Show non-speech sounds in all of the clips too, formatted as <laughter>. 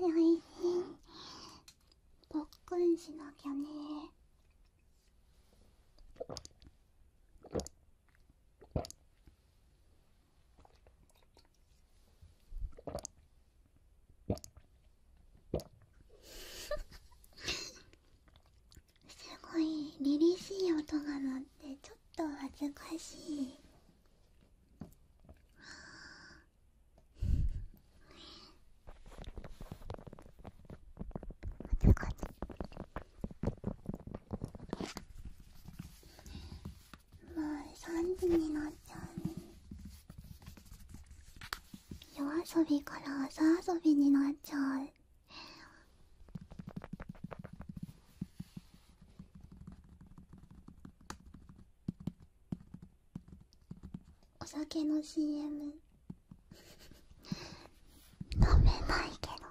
おいしいぽっくんしなきゃねすごい凛々しい音が鳴ってちょっと恥ずかしいはあ。もう3時になっちゃうね夜遊びから朝遊びになっちゃうお酒の CM <laughs> 飲めないけど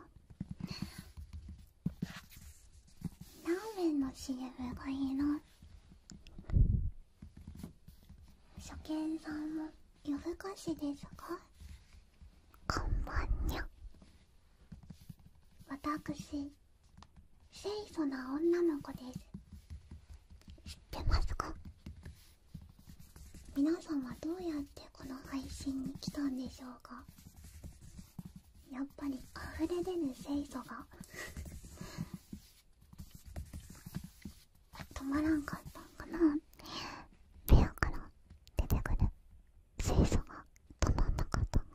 ラーメンの CM がいいな初見さんも夜更かしですかこんばんにゃ私清楚な女の子です知ってますか皆さんはどうやってこの配信に来たんでしょうかやっぱり溢れ出ぬ清楚が止まらんかったんかなペアから出てくる精査が止まんなかったかな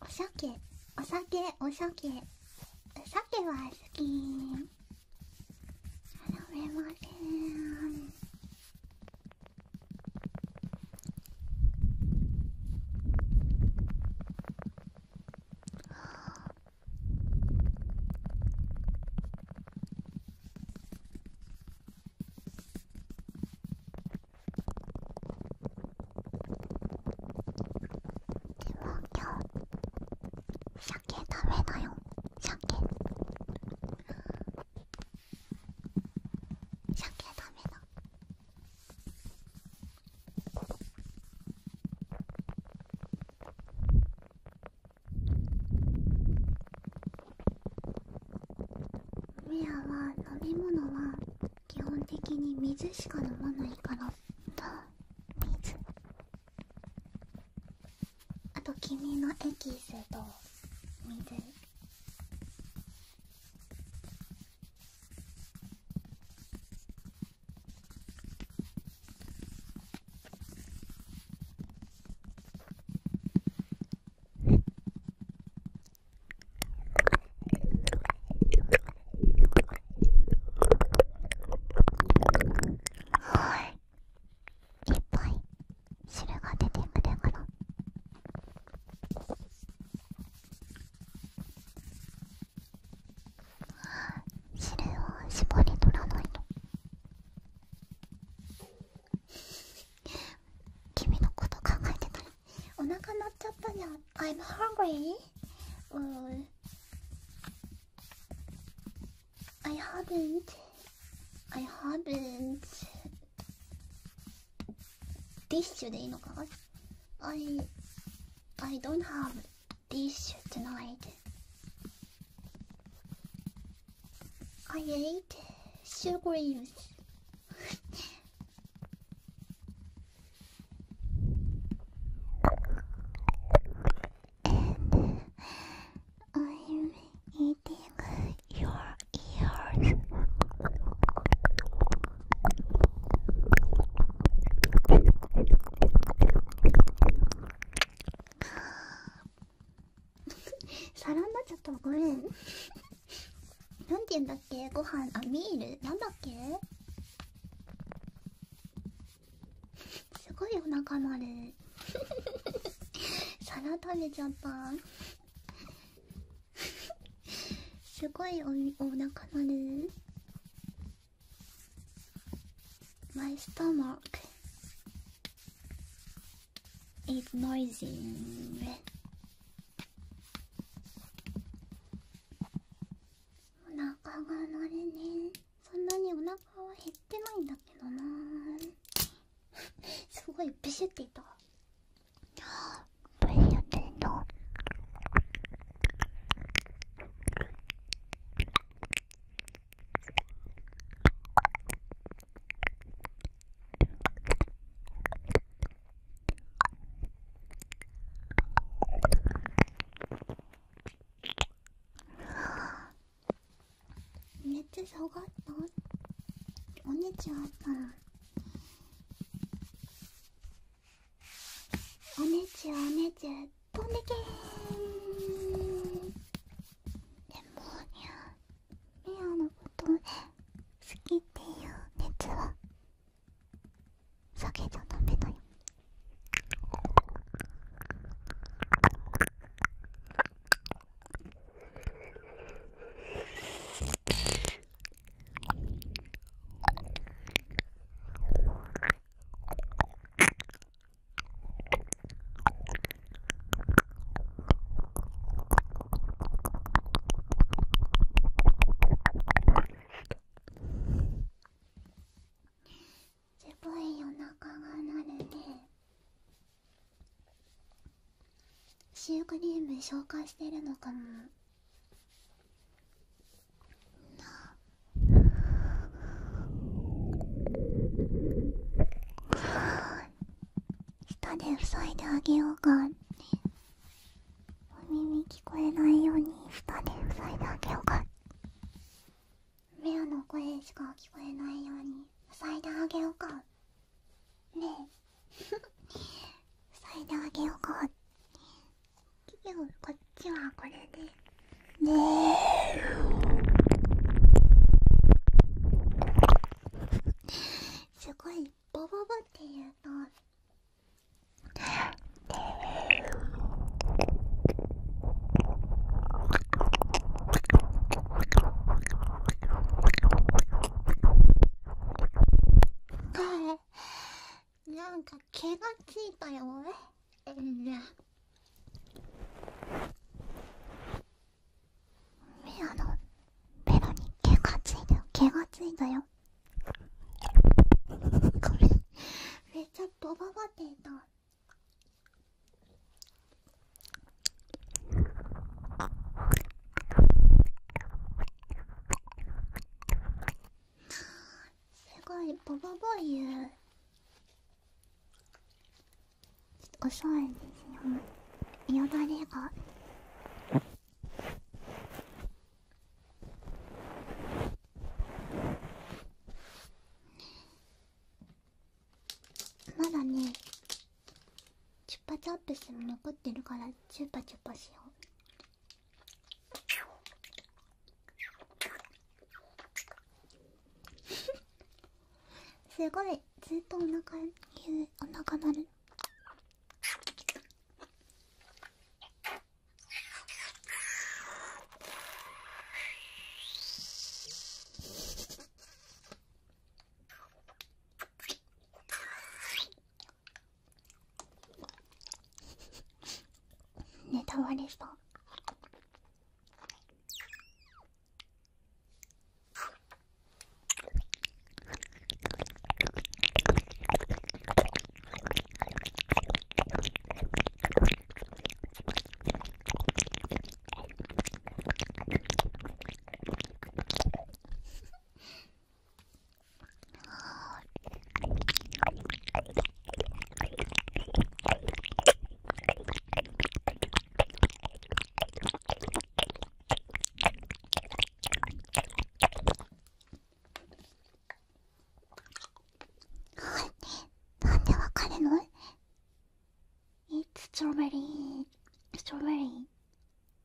お酒お酒お酒お酒は好き飲めませんでも今日鮭ダメだよ鮭鮭食べなミアは飲み物は基本的に水しか飲まないからと水あと君のエキスと水はいいっぱい汁が出てくるか汁を絞り取らないと君のこと考えてたらお腹鳴っちゃったじゃん I'm hungry? I haven't I haven't ディッシュでいいのか I I don't have this tonight I ate sugars. and I'm eating your ears. 皿になっちゃったごめんなんて言うんだっけご飯あミールなんだっけすごいお腹まる皿食べちゃったすごいおお腹まるマイストマーク It's noisy. お腹が鳴れね。そんなにお腹は減ってないんだけどな。<laughs> すごいブシュっていた。ブシュっていた。めっちゃ下がったおねちゃんっらおねちおねち飛んでけでもミアのこと好きっていう熱は避けちゃダメだよすごい夜中がなるねシュークリーム消化してるのかもな舌で塞いであげようかねお耳聞こえないように舌で塞いであげようかめアの声しか聞こえないように塞いであげようかねえ塞いであげようかこっちはこれでねえすごいボボボっていうとなんか毛がついたよえんやミアのベロに毛がついたよ毛がついたよごめんめっちゃドババっていたすごいボボボ言うおいんですよよだれがまだねチュッパチャップスも残ってるからチュッパチュッパしようすごいずっとお腹ゆお腹鳴るネタ割れそうなんでわかるの ?It's strawberry, strawberry,